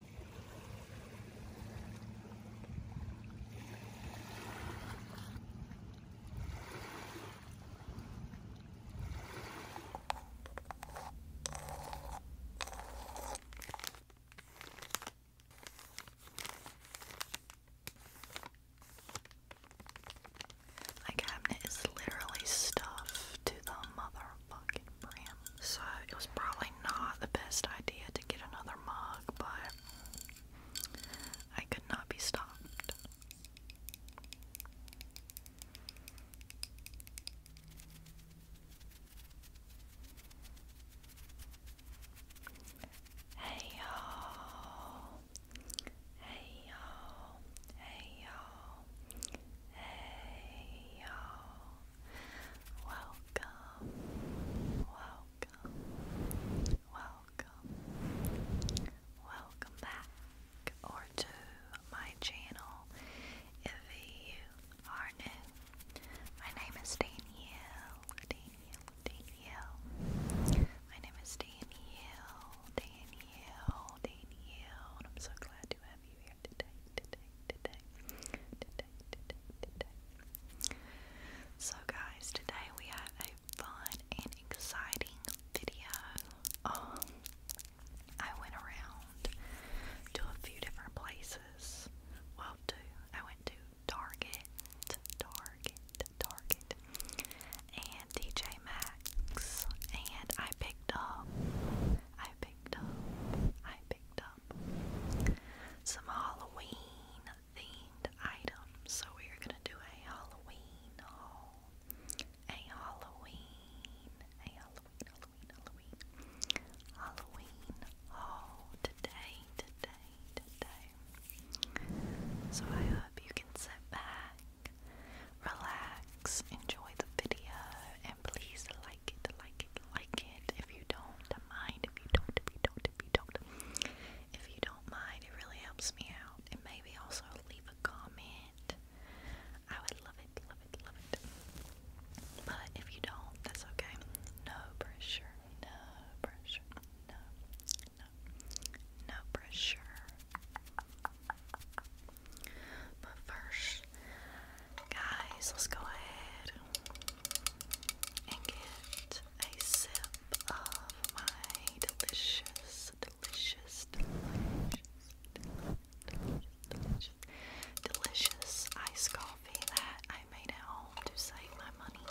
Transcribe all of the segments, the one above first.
My cabinet is literally stuffed to the motherfucking brim. So it was probably not the best idea to get another mug, but I could not be stopped. Hey y'all, hey y'all, hey y'all, hey y'all, Welcome, welcome, welcome, welcome back or to my channel. If you are new, my name is Danielle, Danielle, Danielle. My name is Danielle, Danielle, Danielle, I'm so glad you have so, guys, today we have a fun and exciting video. Um, I went around to a few different places. Well, two. I went to Target, Target, Target, and DJ Maxx, and I picked up, I picked up, I picked up some Halloween themed items. So we're gonna do a Halloween haul. A Halloween, a Halloween, Halloween, Halloween haul today, today, today. So I hope you can sit back, relax, enjoy the video, please like it, like it, like it. If you don't mind, if you don't, if you don't, if you don't, if you don't mind, it really helps me out. And maybe also leave a comment. I would love it, love it, love it. But if you don't, that's okay. No pressure, no pressure, no, no pressure. But first, Guys, let's go ahead and get a sip of my delicious, delicious, delicious, delicious, delicious, coffee that I made at home to save my money.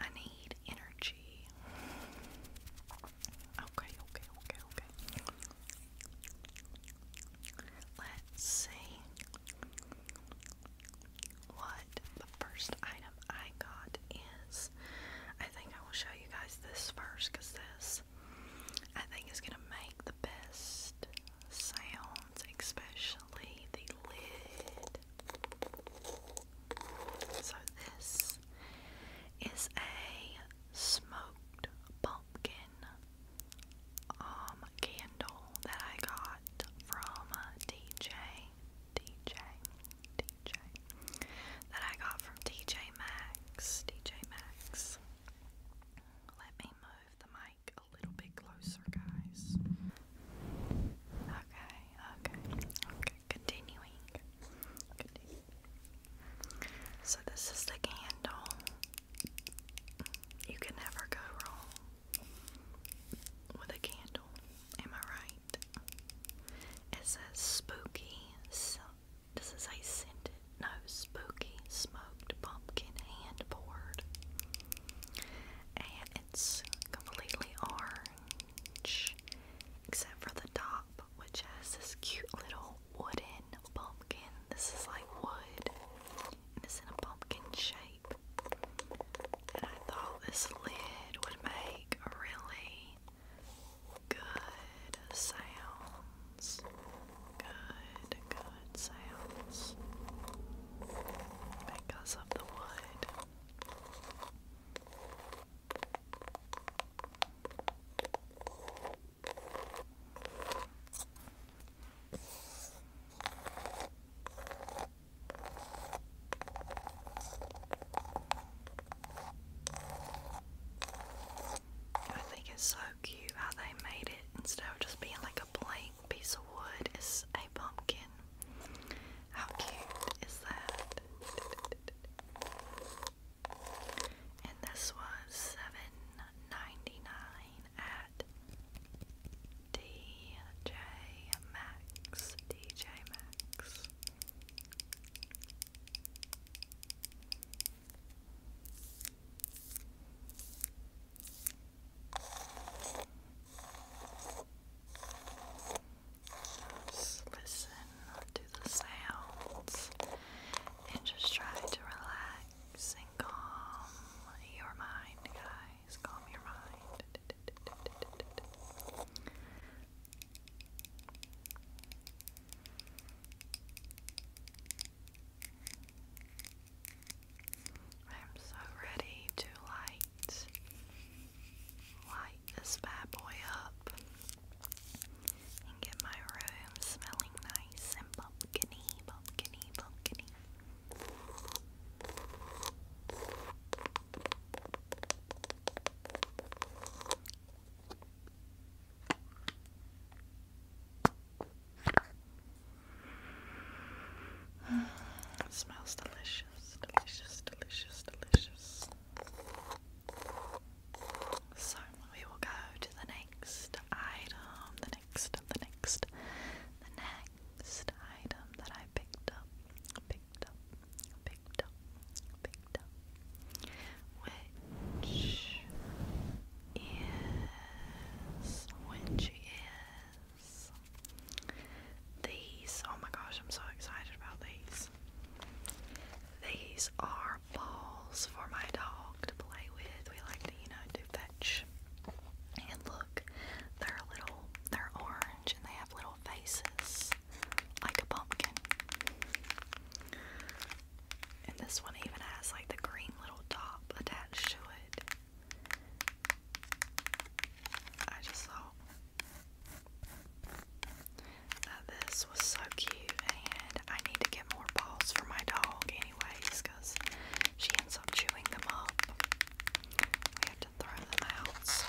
I need energy. Okay, okay, okay, okay. Let's see what the first item I got is. I think I will show you guys this first because this I think is going to make the best sounds, especially the lid. So, this is a smoked pumpkin um candle that I got from uh, DJ DJ DJ that I got from DJ Maxx DJ Maxx let me move the mic a little bit closer guys okay okay okay continuing. So this is the candle. You can never go wrong with a candle. Am I right? It says spooky. So does it scented? No, spooky smoked pumpkin hand And it's completely orange except for the top which has this cute little wooden pumpkin. This is like wood, and it's in a pumpkin shape. And I thought this lid would make a really good sounds. Good, good sounds. Because of the wood. I think it's so cute how they made it instead of just being like a blank piece of wood, it's a pumpkin. How cute is that? And this was $7.99 at DJ Maxx. DJ Maxx. Just listen to the sounds and just try to relax and calm your mind, guys. Calm your mind. I'm so ready to light light this bad boy up and get my room smelling nice and pumpkiny, pumpkiny, pumpkiny. smells delicious, delicious, delicious, delicious. So we will go to the next item, the next, the next, the next item that I picked up, picked up, picked up, picked up, which is, which is these. Oh my gosh, I'm so excited about these. These are balls for my dog to play with. We like to, you know, do fetch. And look, they're little, they're orange and they have little faces like a pumpkin. And this one even has like the green little top attached to it. I just thought uh, this was so cute, and I need to get more balls for my dog, anyways, because she ends up chewing them up. We have to throw them out, so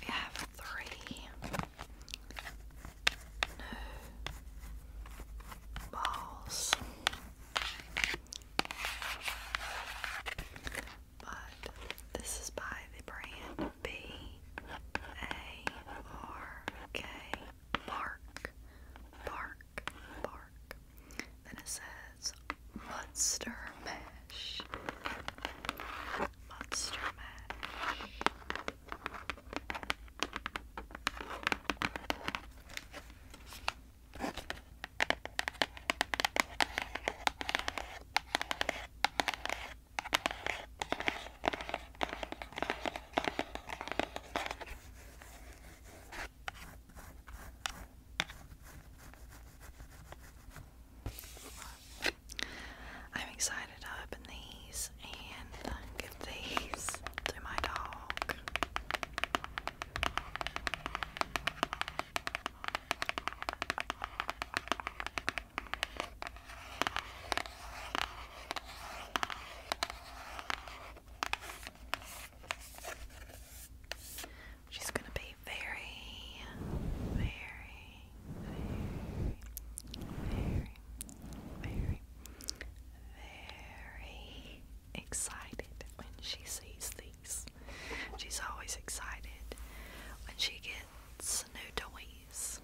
we have three new balls. But this is by the brand B A R K bark bark bark. Then it says Munster Mash. Monster Mash. I'm excited to open these and give these to my dog. She's going to be very, very, very, very, very, excited when she sees these. She's always excited when she gets pets, no toys.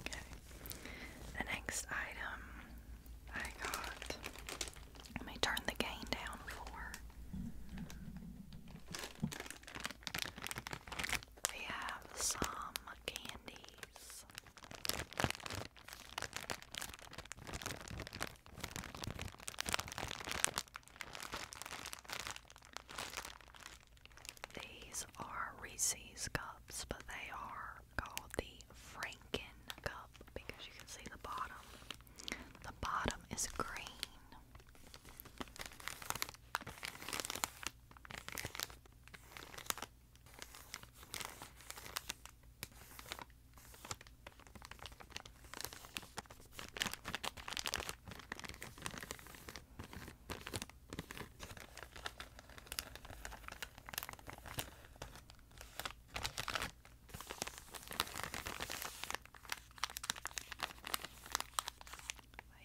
Okay. The next item I got. Let me turn the gain down for. We have some candies. These are Reese's cups, but they are called the Franken cup because you can see the bottom. The bottom is green. But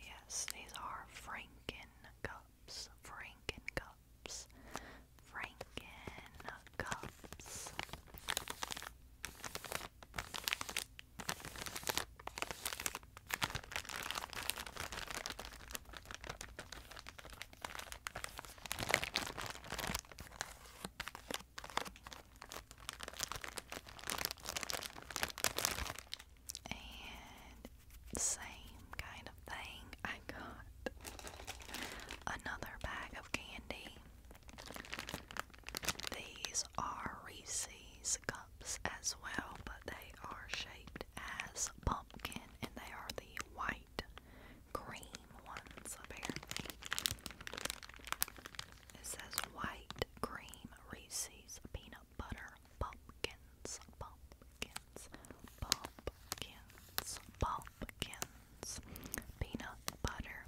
yes, these are Franken cups, Franken cups, Franken cups. And same kind of thing, I got another bag of candy. These are Reese's cups as well, but they are shaped as pumpkin and they are the white cream ones apparently. It says white cream Reese's peanut butter pumpkins, pumpkins, pumpkins, pumpkins, peanut butter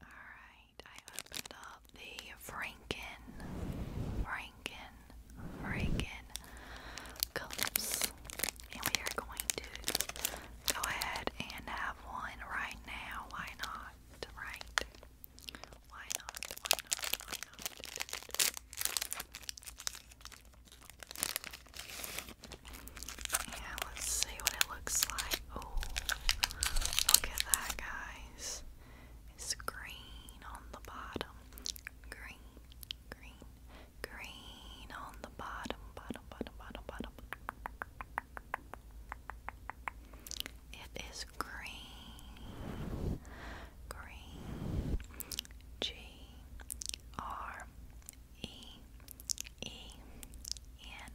All right, I opened up the Franken, Franken, Franken clips and we are going to go ahead and have one right now. Why not? Right? Why not? Yeah, let's see what it looks like. Oh, look at that, guys. It's green on the bottom. Green, green, green on the bottom, bottom, bottom, bottom, bottom. It is green, green, G R E E N,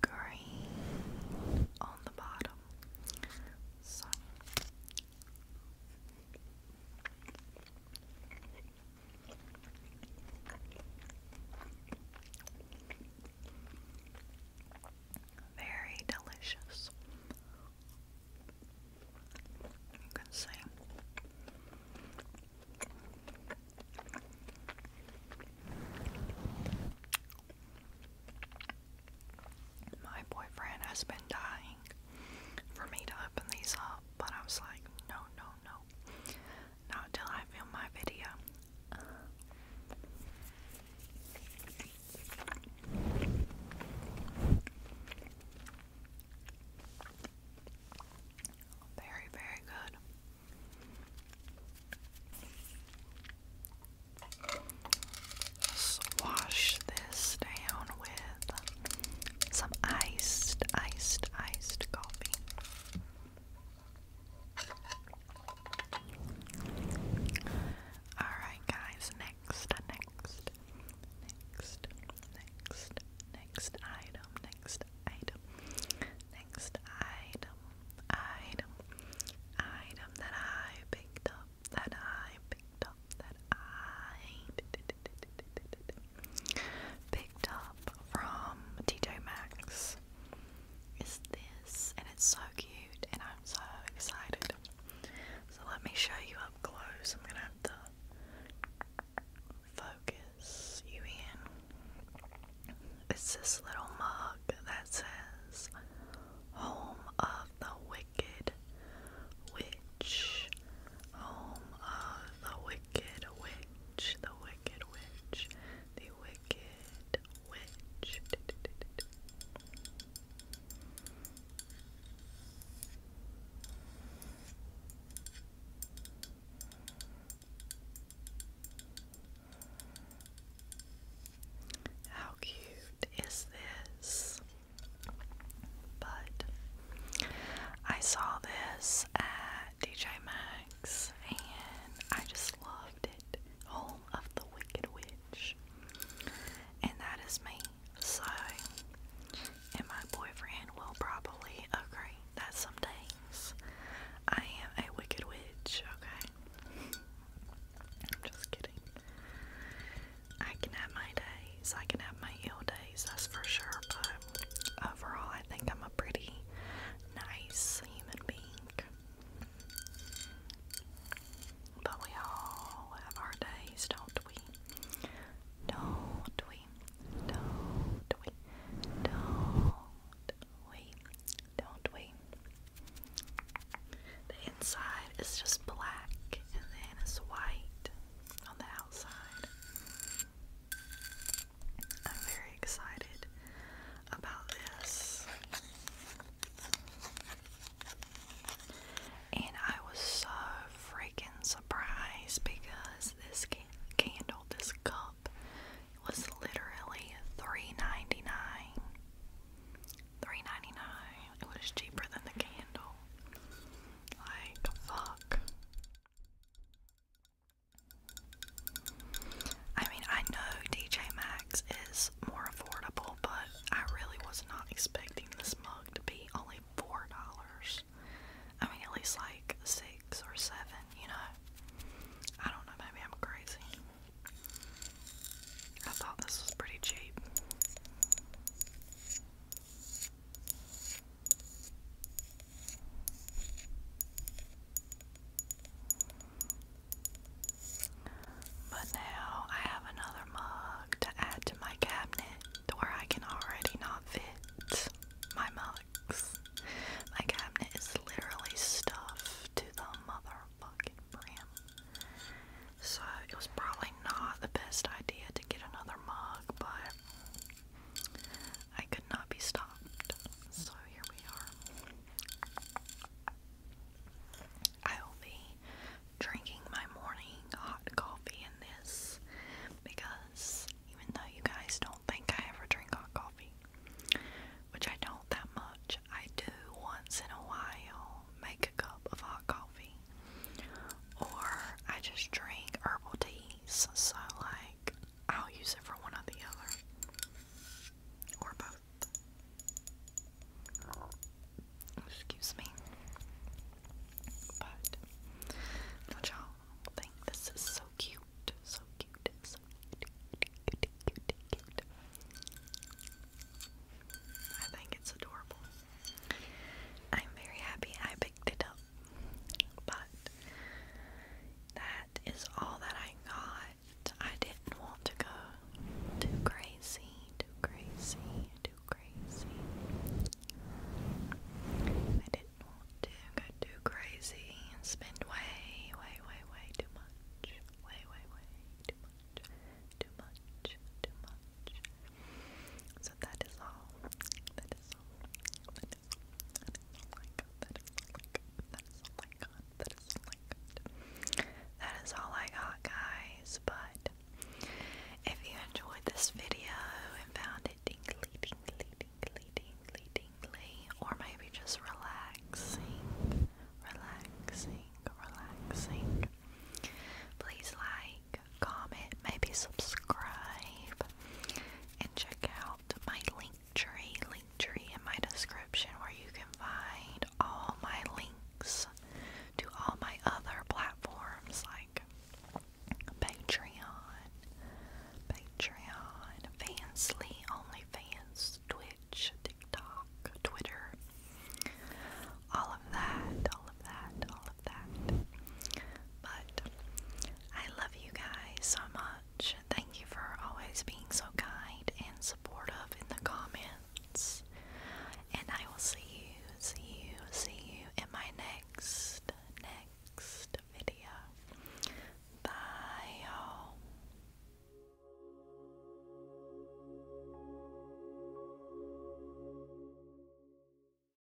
green on the bottom. Very delicious. You can see. My boyfriend has been dying for me to open these up, but I was like, no, no, no, not till I film my video. Very, very good. Swash this down with some iced, iced, iced coffee. Alright, guys, next, next, next, next, next item, next item, next item, item, item that I picked up, that I picked up, that I picked up from TJ Maxx is this, and it's so cute, and I'm so excited. So let me show you up close. I'm gonna have to focus you in. It's this little mug that says Home of the Wicked Witch, Home of the Wicked Witch, the Wicked Witch, the Wicked Witch. How cute is this? But I saw this DJ Maxx and I just loved it. Home of the Wicked Witch. And that is me. So, and my boyfriend will probably agree that some days I am a Wicked Witch, okay? I'm just kidding. I can have my days, I can have my ill days that's for sure. But overall, I think I'm a pretty nice human being. But we all have our days, don't we? Don't we? Don't we? Don't we? Don't we? The inside is just black and then it's white on the outside. I'm very excited about this. And I was so freaking surprised because this candle, this cup, was literally $3.99. $3.99. It was cheaper than the candle. Like, fuck. I mean, I know DJ Max is more affordable, but I really was not expecting this mug to be only four dollars. I mean, at least like six or seven, you know. I don't know, maybe I'm crazy. I thought this was pretty cheap. But now I have another mug to add to my cabinet where I can already not fit my mugs. My cabinet is literally stuffed to the motherfucking brim. So it was probably not the best idea to get another mug, but I could not be stopped. So here we are. I will be drinking my morning hot coffee in this because even though you guys don't think I ever drink hot coffee, which I don't that much, I do once in a while make a cup of hot coffee. Or I just drink herbal tea so like I'll use it for one or the other. Or both. Excuse me. But y'all think this is so cute. So cute. I think it's adorable. I'm very happy it up. But that is all that I got. I didn't want to go too crazy, too crazy, too crazy. I didn't want to go too crazy and spend way, way, way, way too much. Way, way, way too much. Too much, too much. So that is all. That is all. I got. That is all I got. That is all I got. That is all I got. That is all I got, guys. But if you enjoyed this video and found it tingly, tingly, tingly, tingly, tingly, or maybe just relaxing, relaxing, relaxing, please like comment, maybe subscribe, and check out my link tree, link tree in my description where you can find all my links to all my other platforms like Patreon, Patreon, Fansly, OnlyFans, Twitch, TikTok, Twitter, all of that, all of that, all but I love you guys so much. Thank you for always being so kind and supportive in the comments. And I will see you, see you, see you in my next, next video. Bye, y'all.